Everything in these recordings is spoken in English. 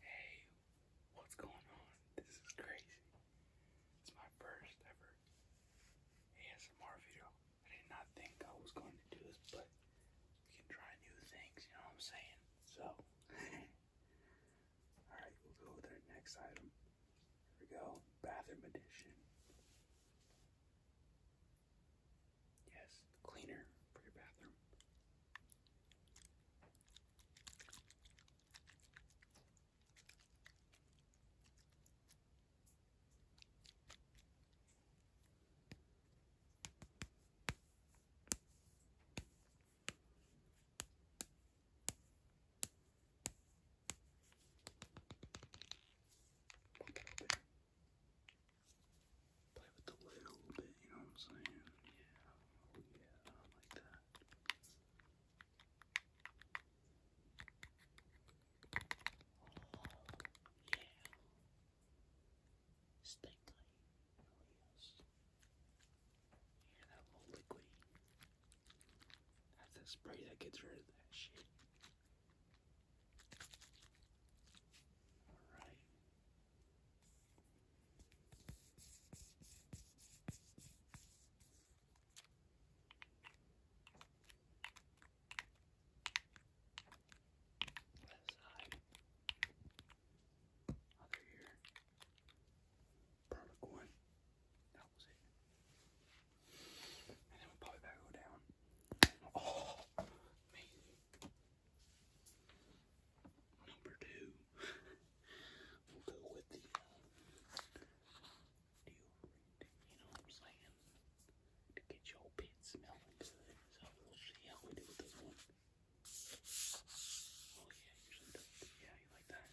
Hey, what's going on? This is crazy. It's my first ever ASMR video. I did not think I was going to do this, but we can try new things, you know what I'm saying? So, alright, we'll go with our next item. Here we go, bathroom edition. Yes, cleaner for your bathroom. Play with the a little bit, you know what I'm saying? Yeah, oh yeah, like that. Oh yeah. Stay yes. Yeah, that little liquid. That's that spray that gets rid of that shit. All right. Left Other ear. Perfect one. That was it. And then we'll pop it down. Oh, Number two. we'll go with the uh, you know what I'm saying? To get your pit smelling good. So we'll see how we do with this one. Oh yeah, usually does. Yeah, you like that?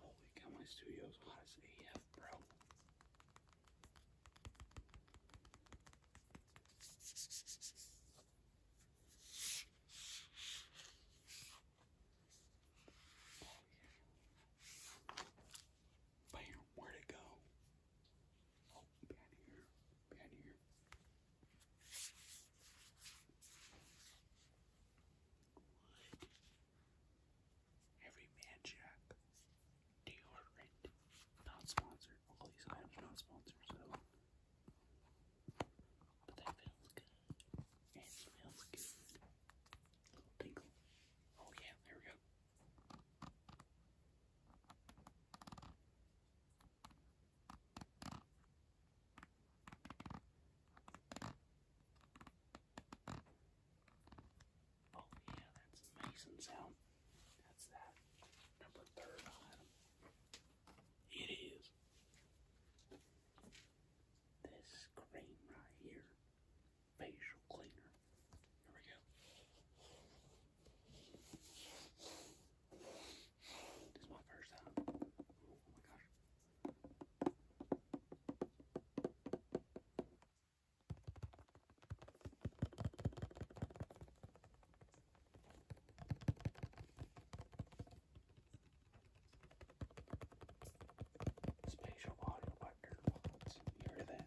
Holy cow, my studio's hot as bro. Bam, where'd go? Oh, behind here, behind here. Every man jack deodorant. Not sponsored. All these items are not sponsored, but that feels good. It smells good. Oh yeah, there we go. Oh yeah, that's amazing sound. That's that. Number third item. It is this cream right here. Facial cleaner. Here we go. This is my first time. Oh my gosh. Spatial audio by AirPods. You heard of that?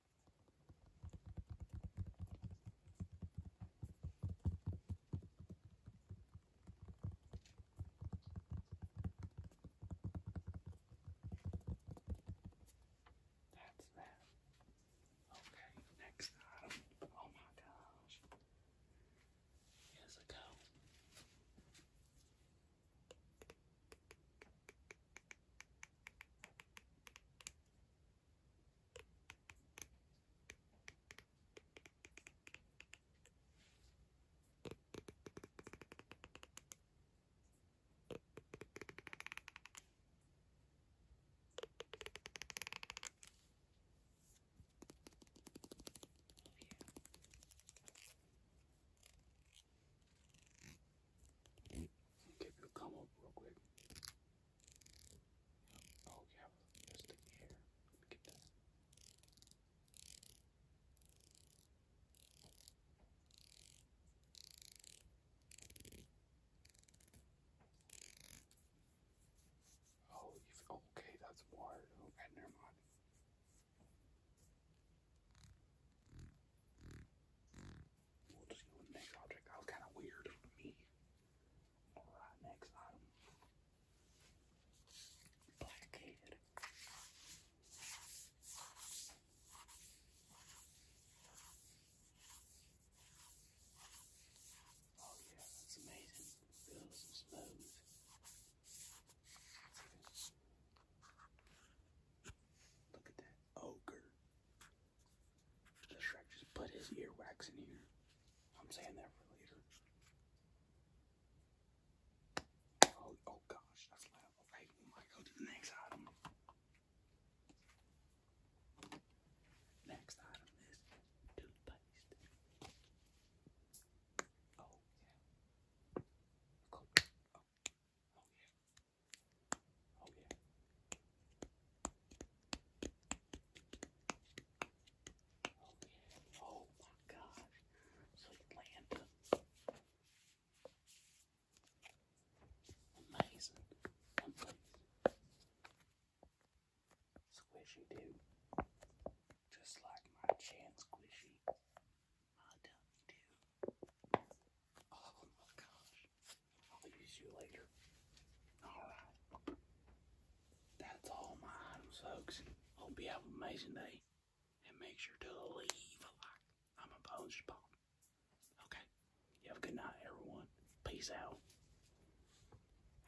That's that. Okay, next item. Oh my gosh. Here's a go. Love you. Okay, you come up real quick. Oh, yeah, there's the hair. get that. Oh, you okay, that's water. Okay, never mind next object. That was kind of weird for me. Alright, next item. Blackhead. Oh yeah, that's amazing. Feels smooth. Look at that ogre. The Shrek just put his earwax in here. I'm saying that for later. Oh, oh gosh, that's loud. Alright, we might go to the next item. Next item is toothpaste. Oh yeah. Oh. yeah. Oh yeah. Oh yeah. Oh my gosh. So Amazing. place. Squishy dude. Just like my chin squishy. Well done, too. Oh my gosh. I'll use you later. Alright. That's all my items, folks. Hope you have an amazing day. And make sure to leave a like. I'm a bone spot. Okay. You have a good night, everyone. Peace out.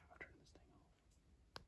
How do I turn this thing off?